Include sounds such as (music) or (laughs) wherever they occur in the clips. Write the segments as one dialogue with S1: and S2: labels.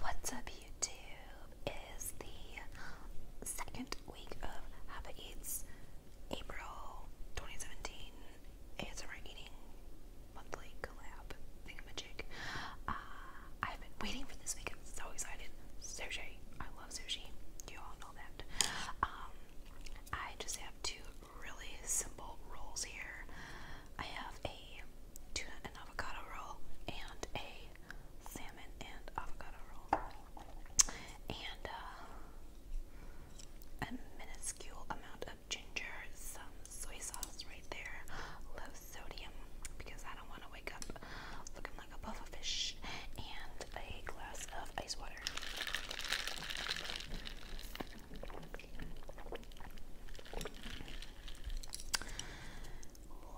S1: What's up YouTube? It is the second week of Habit Eats April 2017 ASMR Eating Monthly Collab Thingamajig. Uh, I've been waiting for this week. I'm so excited. Sushi. I love sushi. You all know that. Um, I just have two really simple rolls here. I have a tuna and avocado roll and a salmon and avocado roll. And uh, a minuscule amount of ginger, some soy sauce right there, low sodium because I don't want to wake up looking like a puffer fish, and a glass of ice water.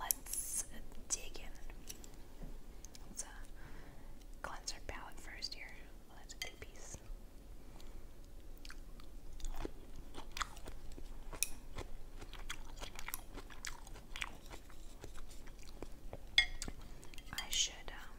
S1: Let's dig in. Let's cleanse our palette first here. Well, that's a piece. I should um,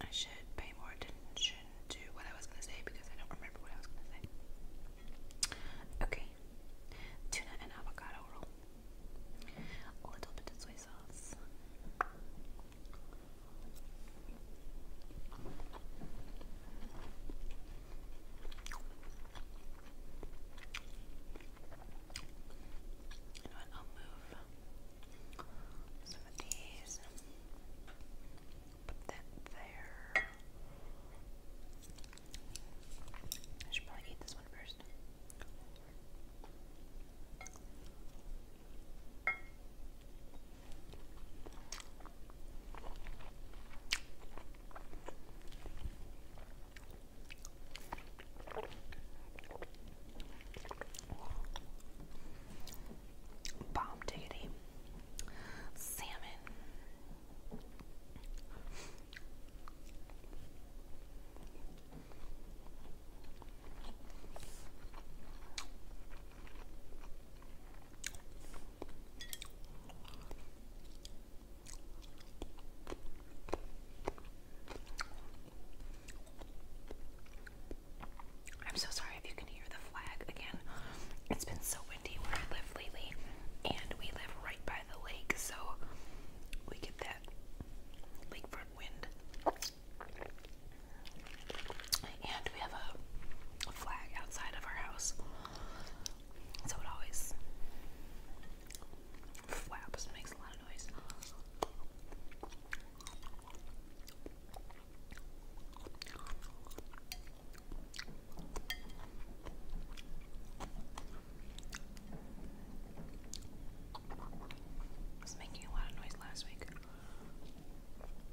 S1: I should pay more attention to what I was going to say because I don't remember what I was going to say. Okay, tuna and avocado roll. A little bit of soy sauce. You I'll move some of these. Put that there. I should probably eat this one first. Bomb diggity. Salmon. I'm so sorry if you can hear the flag again. It's been so windy where I live lately, and we live right by the lake, so we get that lakefront wind. And we have a, flag outside of our house. So it always flaps makes a lot of noise. was making a lot of noise last week.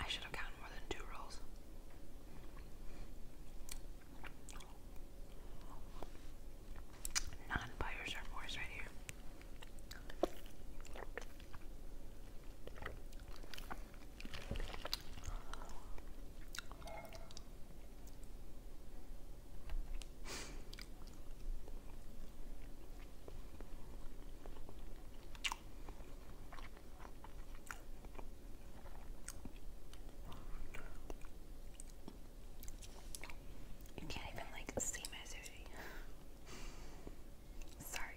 S1: I should have counted more than two rolls. Non buyers are more right here. You can't even like see my (laughs) Sorry,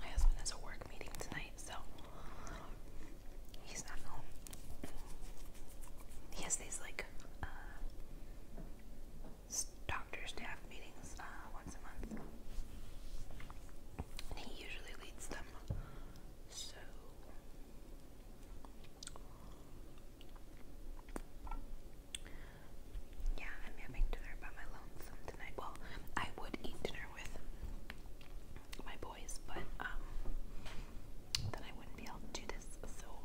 S1: My husband has a work meeting tonight, so he's not home. He has these like uh, Doctor's staff meetings uh, once a month. And he usually leads them. So yeah, I'm having dinner by my tonight. Well, I would eat dinner with my boys, but um, then I wouldn't be able to do this. So (laughs)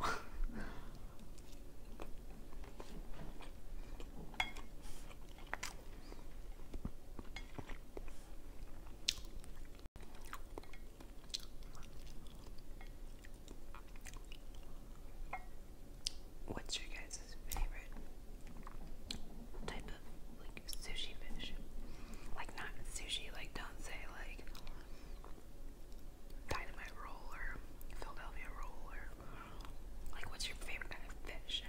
S1: What's your guys' favorite type of like sushi fish? Like not sushi, like don't say like dynamite roll or Philadelphia roll or like what's your favorite kind of fish?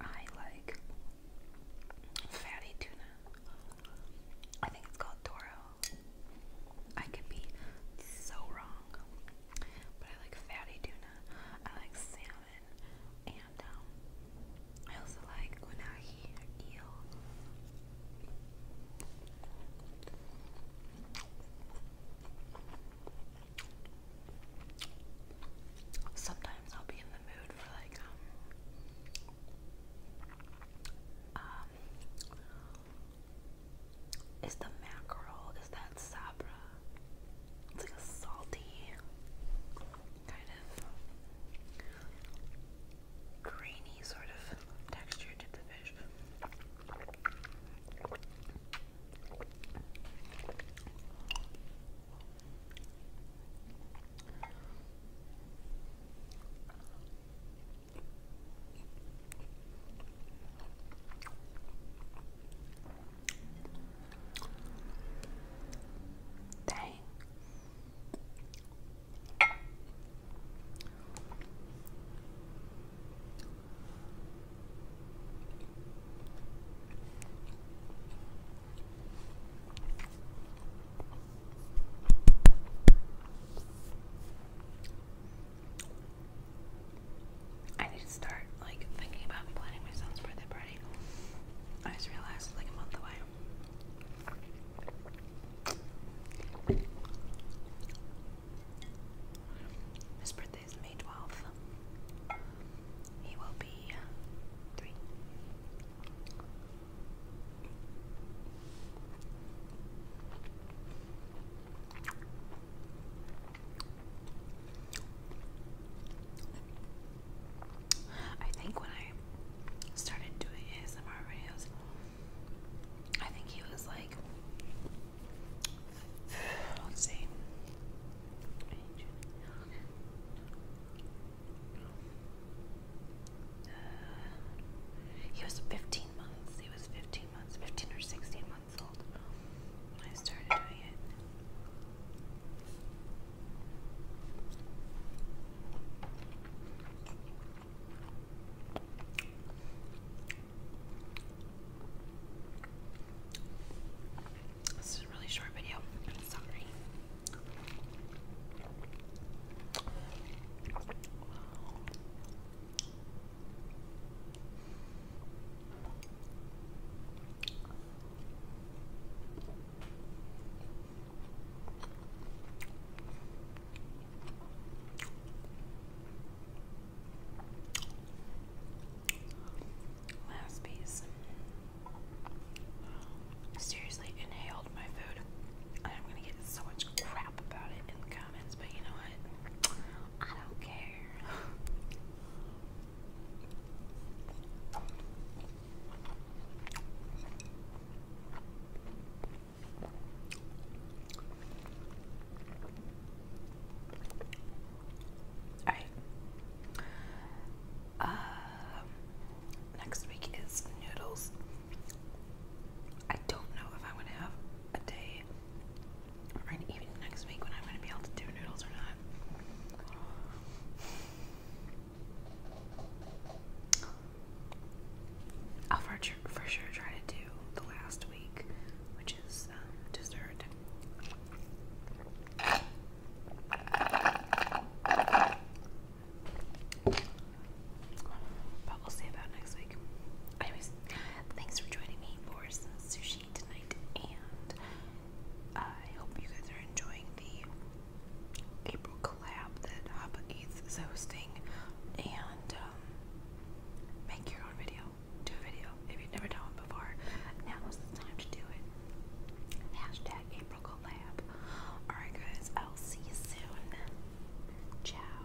S1: I like fatty tuna. I think it's called Toro. I could be so wrong. But I like fatty tuna. I like salmon and um I also like when I hear eel. Sometimes I'll be in the mood for like um, um, is the mackerel, is that sabra? It's like a salty kind of grainy sort of texture to the fish. Dang. I need to start like thinking about planning my for the bread. I just realized it's like a month away. His birthday is May 12th. He will be three. I think when I started doing ASMR videos, I think he was like, let's see, uh, he was 15 months, he was 15 months, 15 or 16 months old. I started doing it. This is a really short video. Sorry. Last piece. Seriously, inhaled my food. I'm gonna get so much crap about it in the comments, but you know what? I don't care. All right. Uh, next week is noodles. I don't know if I want have a day even next week when I'm going to be able to do noodles or not. I'll for sure, try to do the last week, which is um, dessert. But we'll see about next week. Anyways, thanks for joining me for some sushi tonight, and I hope you guys are enjoying the April collab that Hapa is hosting. And um, make your own video. Do a video if you've never done one before. Now is the time to do it. Hashtag April collab. Alright, guys, I'll see you soon. Ciao.